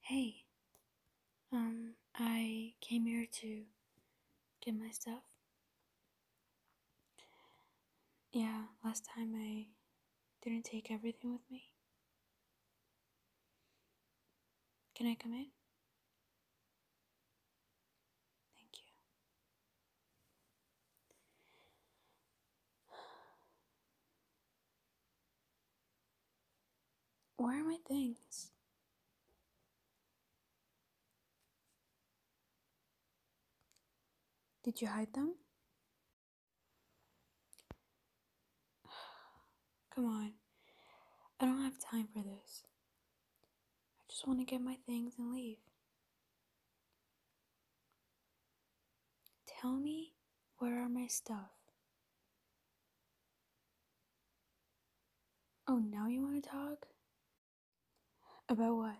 Hey, um, I came here to get my stuff. Yeah, last time I didn't take everything with me. Can I come in? Thank you. Where are my things? Did you hide them? Come on. I don't have time for this. I just want to get my things and leave. Tell me where are my stuff? Oh, now you want to talk? About what?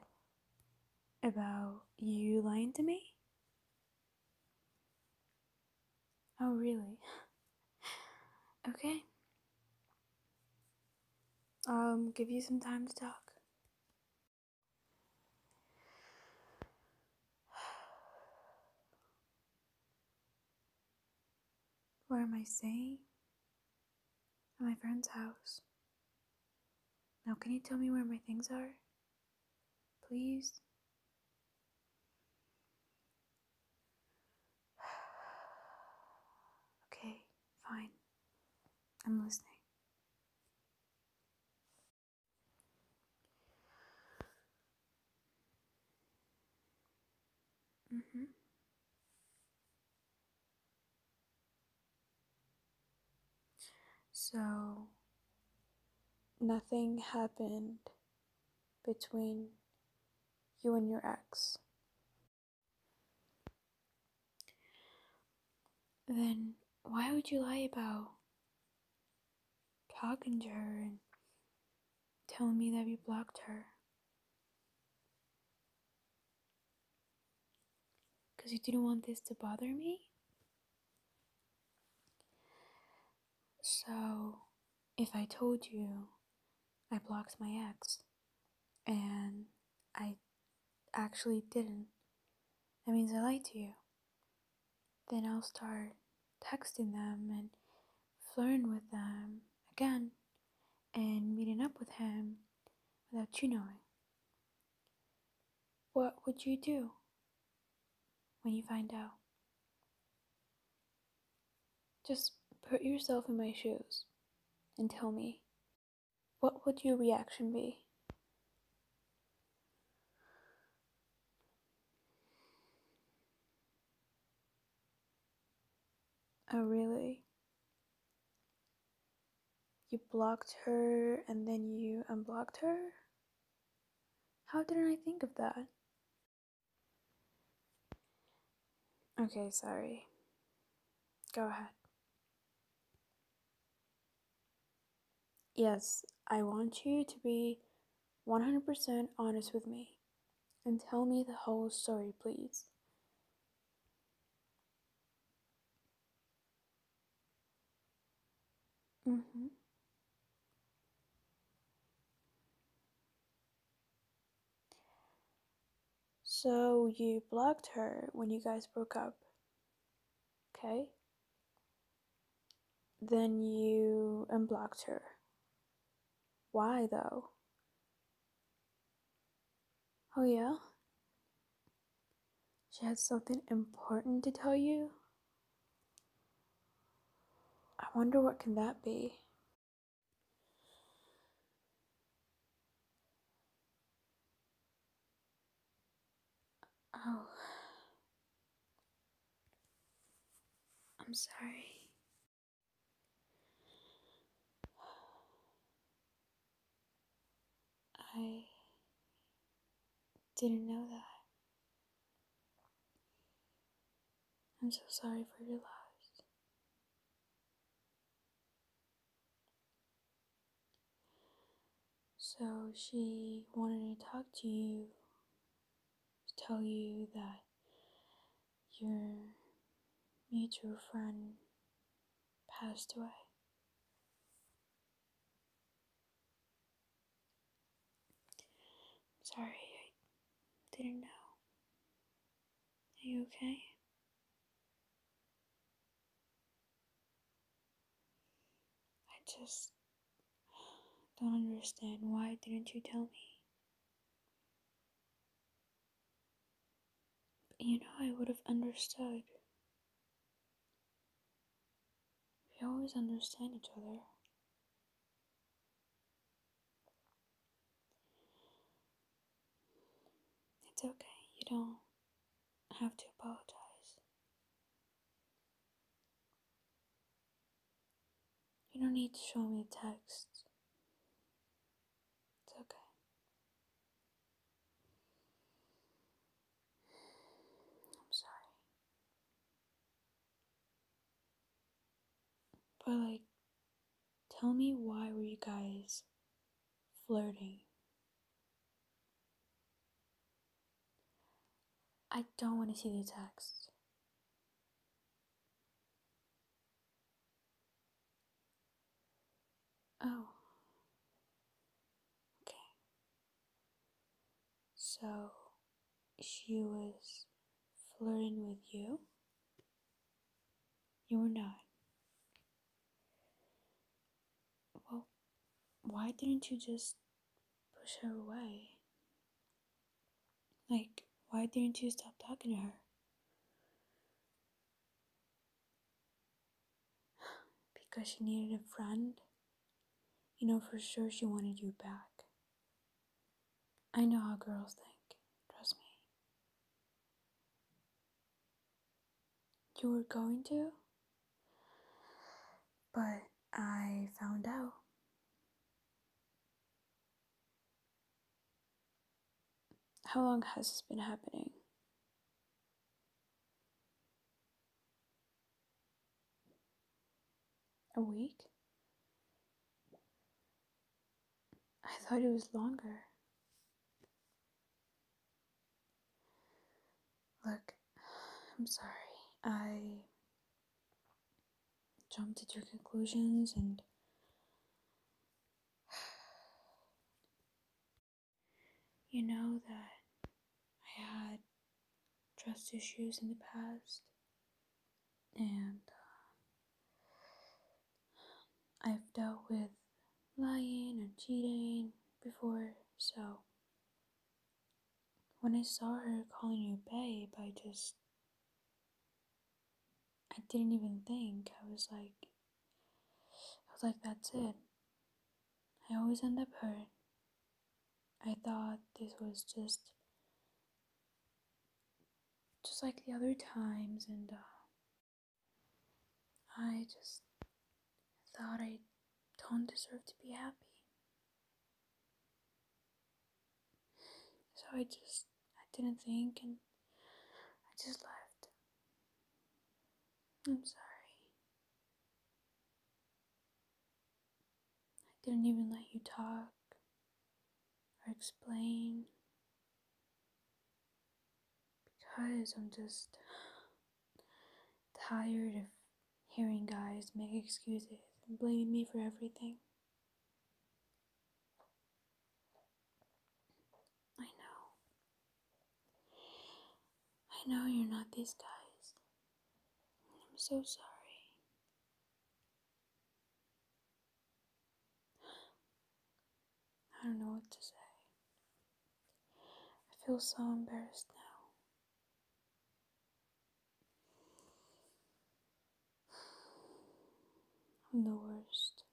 About you lying to me? Oh, really? okay. Um, give you some time to talk. Where am I staying? At my friend's house. Now, can you tell me where my things are? Please? okay, fine. I'm listening. Mm-hmm. So nothing happened between you and your ex. Then why would you lie about talking to her and telling me that you blocked her. Because you didn't want this to bother me? So, if I told you I blocked my ex and I actually didn't, that means I lied to you then I'll start texting them and flirting with them again and meeting up with him without you knowing. What would you do when you find out? Just put yourself in my shoes and tell me what would your reaction be? Oh, really? You blocked her and then you unblocked her? How didn't I think of that? Okay, sorry. Go ahead. Yes, I want you to be 100% honest with me and tell me the whole story, please. Mm-hmm. So you blocked her when you guys broke up, okay? Then you unblocked her. Why though? Oh, yeah? She had something important to tell you? I wonder what can that be? Oh. I'm sorry. I didn't know that. I'm so sorry for your loss. So she wanted to talk to you to tell you that your mutual friend passed away. sorry, I didn't know. Are you okay? I just Don't understand. Why didn't you tell me? You know, I would have understood. We always understand each other. It's okay, you don't have to apologize. You don't need to show me text. It's okay. I'm sorry. But, like, tell me why were you guys flirting? I don't want to see the text. Oh. Okay. So she was flirting with you? You were not. Well, why didn't you just push her away? Like, why didn't you stop talking to her? because she needed a friend. You know for sure she wanted you back. I know how girls think, trust me. You were going to? but I found out. How long has this been happening? A week? I thought it was longer. Look, I'm sorry. I jumped to your conclusions and you know that I had trust issues in the past and uh, I've dealt with lying and cheating before so when I saw her calling you babe, I just. I didn't even think. I was like. I was like, that's it. I always end up hurt. I thought this was just. Just like the other times, and uh, I just thought I don't deserve to be happy. So I just, I didn't think and I just left. I'm sorry. I didn't even let you talk or explain because I'm just tired of Hearing guys make excuses and blaming me for everything. I know. I know you're not these guys. I'm so sorry. I don't know what to say. I feel so embarrassed now. I'm the worst.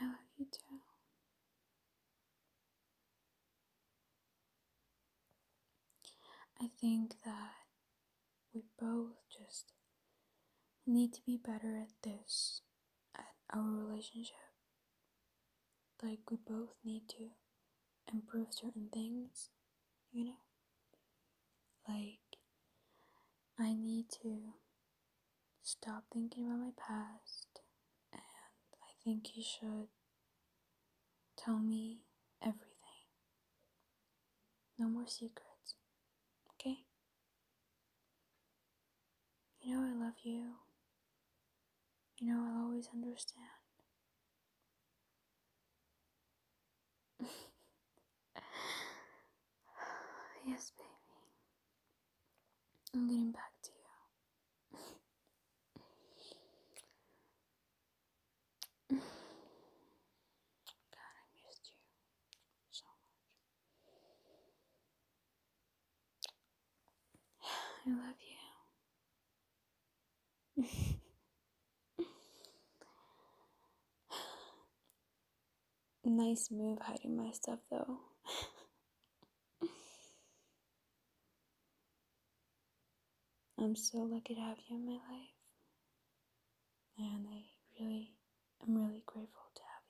I love you too. I think that we both just need to be better at this at our relationship. Like, we both need to improve certain things, you know? Like, I need to stop thinking about my past, and I think you should tell me everything. No more secrets, okay? You know I love you. You know I'll always understand. yes, baby. I'm getting back to you. God, I missed you so much. I love you. nice move hiding my stuff though. I'm so lucky to have you in my life. And I really I'm really grateful to have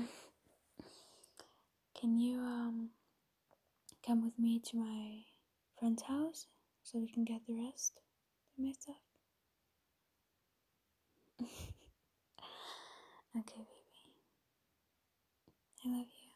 you. Can you um come with me to my friend's house so we can get the rest of my stuff? okay, baby. I love you.